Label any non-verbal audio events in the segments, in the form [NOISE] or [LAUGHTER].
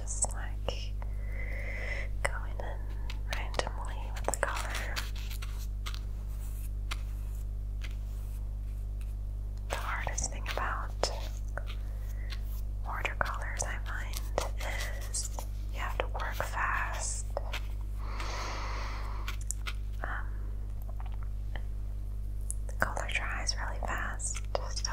Just like going in randomly with the color. The hardest thing about watercolors, I find, is you have to work fast. Um, the color dries really fast, so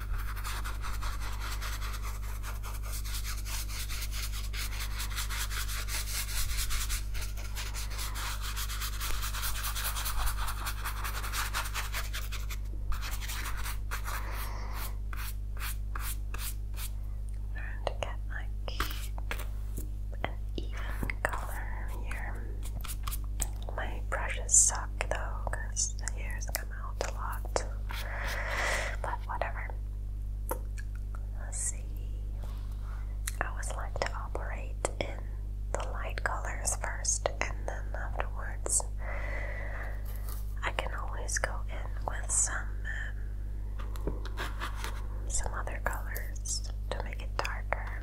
Learn to get like an even color here. My brushes suck though the hair is out a lot. But whatever. Let's see. I always like to operate in the light colors first and then afterwards. I can always go in with some um, some other colors to make it darker.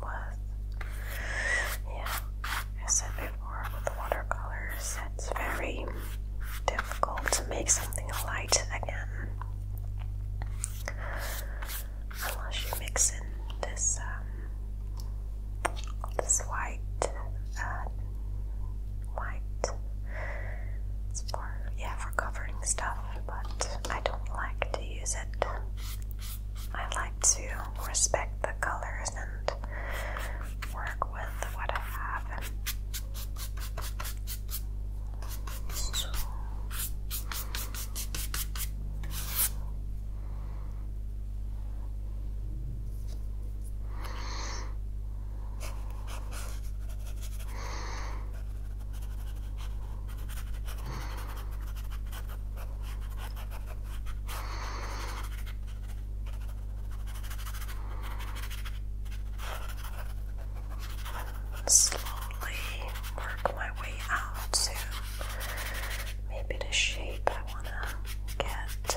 Was yeah, I said before with the watercolors, it's very difficult to make something light again unless you mix in this um, this white uh, white. It's for yeah for covering stuff, but I don't like to use it. I like to respect the colors and work with what I have. Slowly work my way out to Maybe the shape I want to get.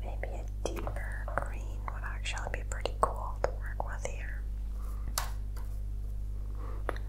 Maybe a deeper green would actually be pretty cool to work with here.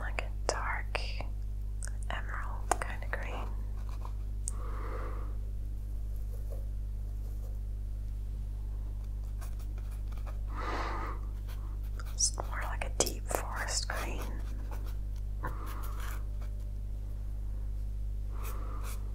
Like a dark emerald kind of green. It's more like a deep forest green.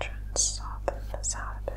Try and soften this out a bit.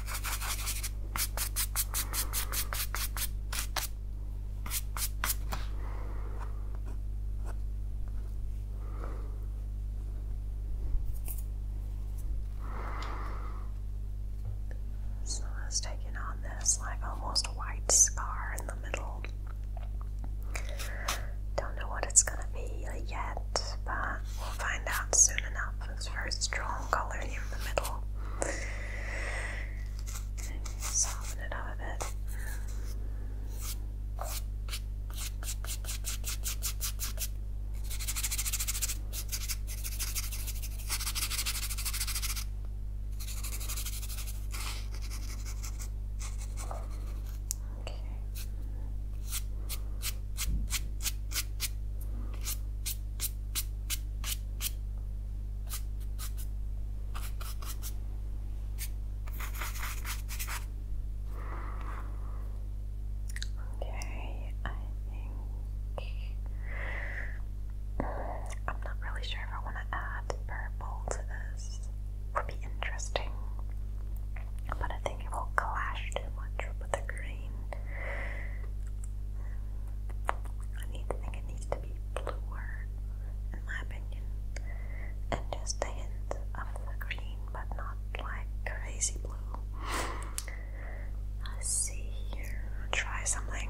So it's taking on this like almost white scar in the middle. Don't know what it's gonna be yet, but we'll find out soon enough. first draw color in the middle. soften it up a bit. Okay. Okay, I think mm, I'm not really sure if I want to add purple to this. would be interesting, but I think it will clash too much with the green. I need think it needs to be bluer, in my opinion, just a hint of the green, but not like crazy blue. Let's see here, try something.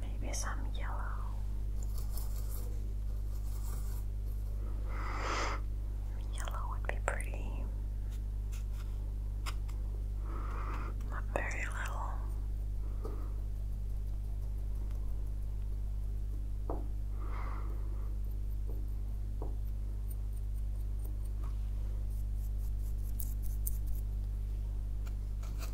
Maybe some yellow. Yellow would be pretty. Not very little.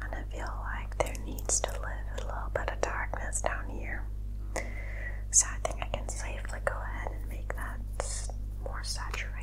And I feel like there needs to live a little bit of darkness down here. So I think I can safely go ahead and make that more saturated.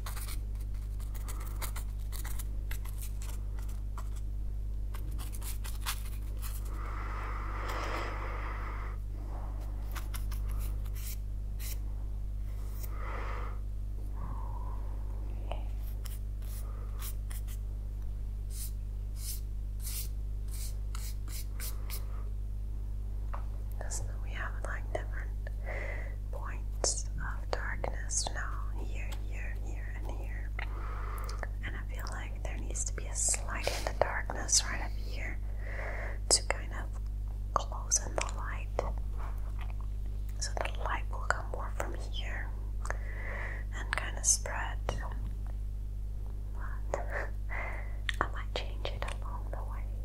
Just know we have like different points of darkness now, here, here, here, and here. And I feel like there needs to be a slide in the darkness right up here to kind of close in the light. So the light will come more from here and kind of spread. But [LAUGHS] I might change it along the way.